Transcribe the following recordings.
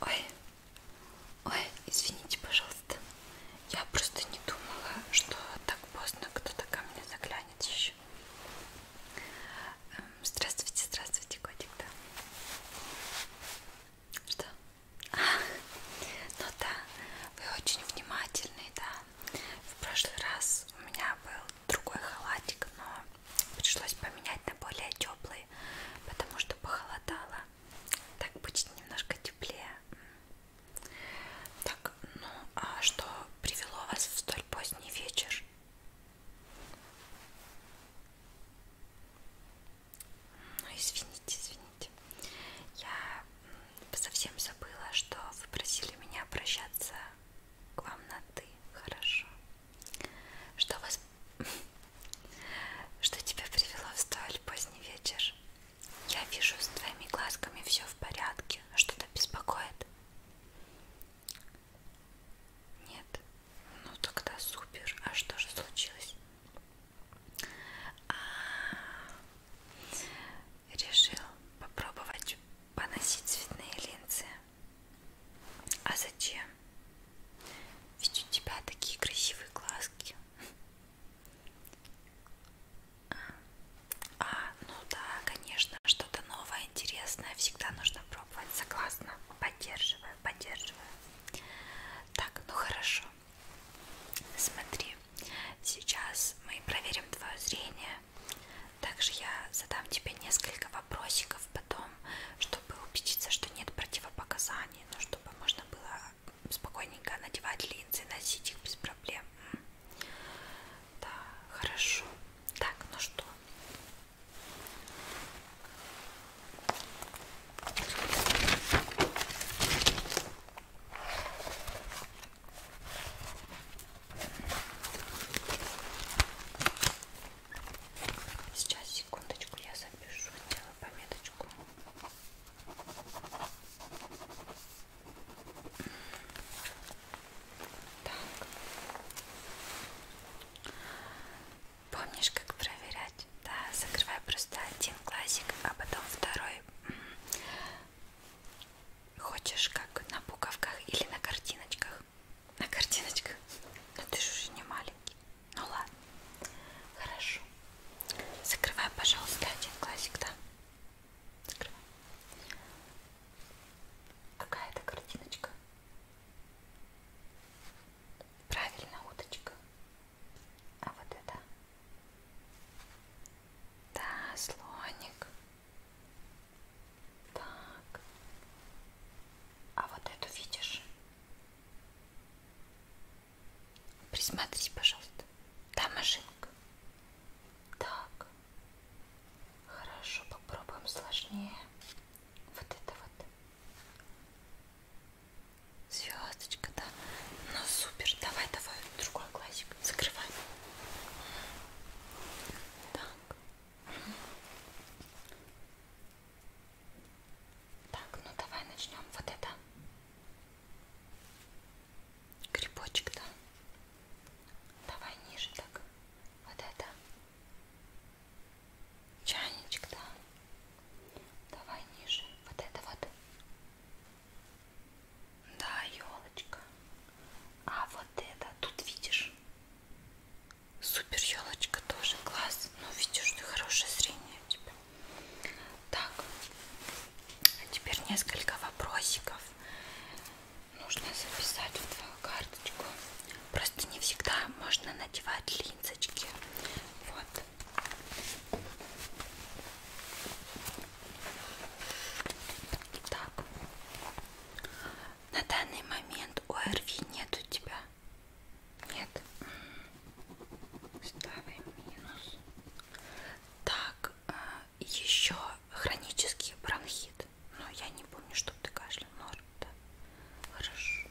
Ой, ой, извините, пожалуйста. Я просто не думала, что так поздно кто-то ко мне заглянет еще. Эм, здравствуйте, здравствуйте, котик, да. Что? А, ну да, вы очень внимательный, да. В прошлый раз у меня был другой халатик, но пришлось поменять на более теплый, потому что похолодало. Так будет немножко теплее. Так, ну а что привело вас в столь поздний вечер? Ну, извините, извините. Я совсем забыла, что вы просили меня обращаться к вам на ты. Хорошо. Что вас... Что тебя привело в столь поздний вечер? Я вижу, с твоими глазками все в порядке. Что-то беспокоит? Нет. Ну тогда супер. А что же случилось? А -а -а. Решил попробовать поносить цветные линзы. А зачем? Ведь у тебя такие красивые глазки. А, ну да, конечно, что-то новое, интересное всегда нужно пробовать. Согласна, поддерживаю, поддерживаю. Так, ну хорошо. Смотри, сейчас мы проверим твое зрение. Также я задам тебе несколько вопросиков потом, чтобы убедиться, что нет противопоказаний, но чтобы можно было спокойненько надевать линзы, носить их без проблем. Да, хорошо. Так, ну что? Сейчас, секундочку, я запишу, делаю пометочку. Так. Помнишь, как проверять? Да, закрывай просто один глазик, а потом второй. Хочешь как на буковках или на картиночках? На картиночках? Но а ты же уже не маленький. Ну ладно. Хорошо. Закрывай, пожалуйста, один глазик, да? Закрывай. Какая это картиночка? Правильно, уточка. А вот это? Да, слоник. Так. А вот эту видишь? Присмотрись, пожалуйста. Да, машинка. Так. Хорошо, попробуем сложнее. Вот это вот. Звездочка, да. Ну супер. Давай, давай, другой глазик. Закрывай. Так. Так, ну давай начнем. Вот это грибочек, да? Давай ниже так. Вот это чайничек, да? Давай ниже. Вот это вот. Да, елочка. А вот это тут видишь? Супер елочка тоже класс. Ну, видишь, ты хорошее зрение у тебя. Так, а теперь несколько вопросиков. Нужно записать в твою карточку. Просто не всегда можно надевать линзочки. Вот. Итак, на данный момент ОРВИ нет у тебя? Нет. Ставим минус. Так, а, еще хронический бронхит. Но ну, я не помню, что ты кашлял. Норм, ну, да? Хорошо.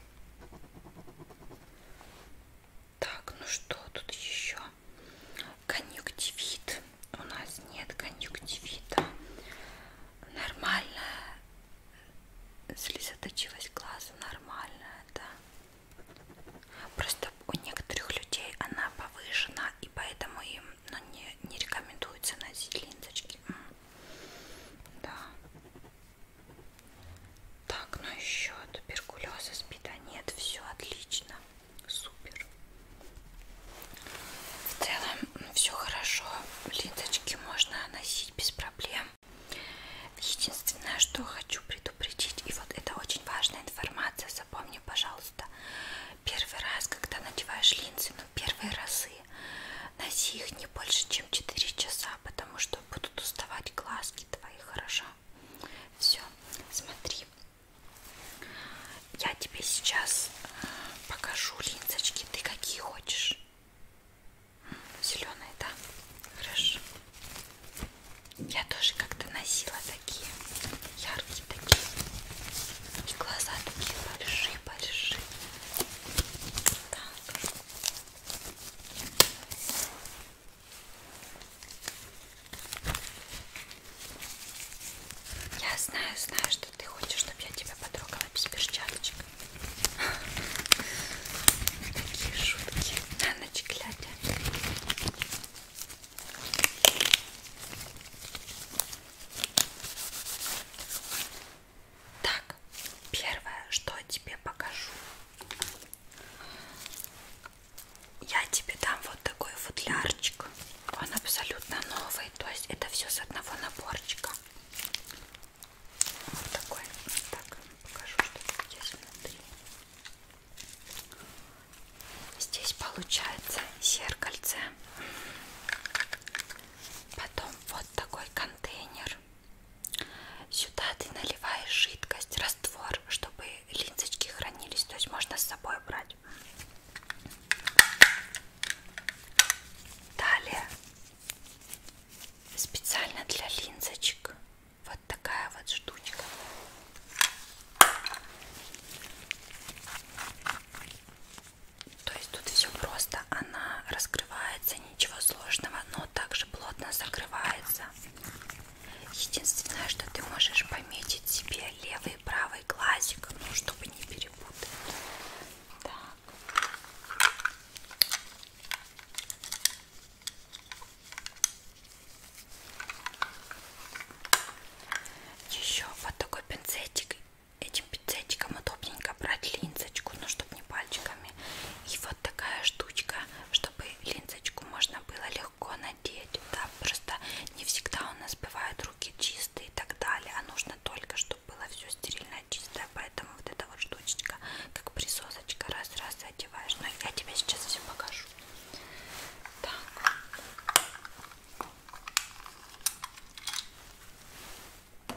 Так, ну что тут еще? Конъюнктивит у нас нет конъюнктивита, нормальная слезоточивость глаза нормальная, да. Просто у некоторых людей она повышена, и поэтому им ну, не, не рекомендуется носить линзочки. Да. Так, ну еще туберкулеза, спида нет, все отлично супер в целом все хорошо ленточки можно носить без проблем единственное что хочу предупредить и вот это очень важная информация запомни пожалуйста первый раз когда надеваешь линзы ну первые разы носи их не больше чем 4 часа потому что будут уставать глазки твои хорошо все смотри я тебе сейчас э, покажу линзочки. Ты какие хочешь? Зеленые, да? Хорошо. Я тоже как-то носила такие. Яркие такие. И глаза такие большие-большие. Так. Я знаю, знаю, что ты хочешь, чтобы я тебя потрогала без перчаточек. Такие шутки. На ночь глядя. Так, первое, что я тебе покажу я тебе дам вот такой футлярчик. Он абсолютно новый, то есть это все с одного наборчика. Вот такой. Так, покажу, что тут есть внутри. Здесь получается зеркальце. Потом вот такой контейнер. Сюда ты наливаешь жидкость, раствор, чтобы линзочки хранились, то есть можно с собой брать. Далее специально для линзочек вот такая вот штучка. То есть тут все просто, она раскрывается, ничего сложного, но также плотно закрывается. Единственное, что ты можешь пометить себе левый и правый глазик, ну, чтобы не перепутать. Так. Еще вот такой пинцетик. Этим пинцетиком удобненько брать линзочку, но ну, чтобы не пальчиками. И вот такая штучка, чтобы линзочку можно было легко надеть. Да, просто не всегда у нас бывают руки чистые и так далее. А нужно только, чтобы было все стерильно чистое. Поэтому вот эта вот штучечка, как присосочка, раз-раз и одеваешь. Но ну, я тебе сейчас все покажу. Так.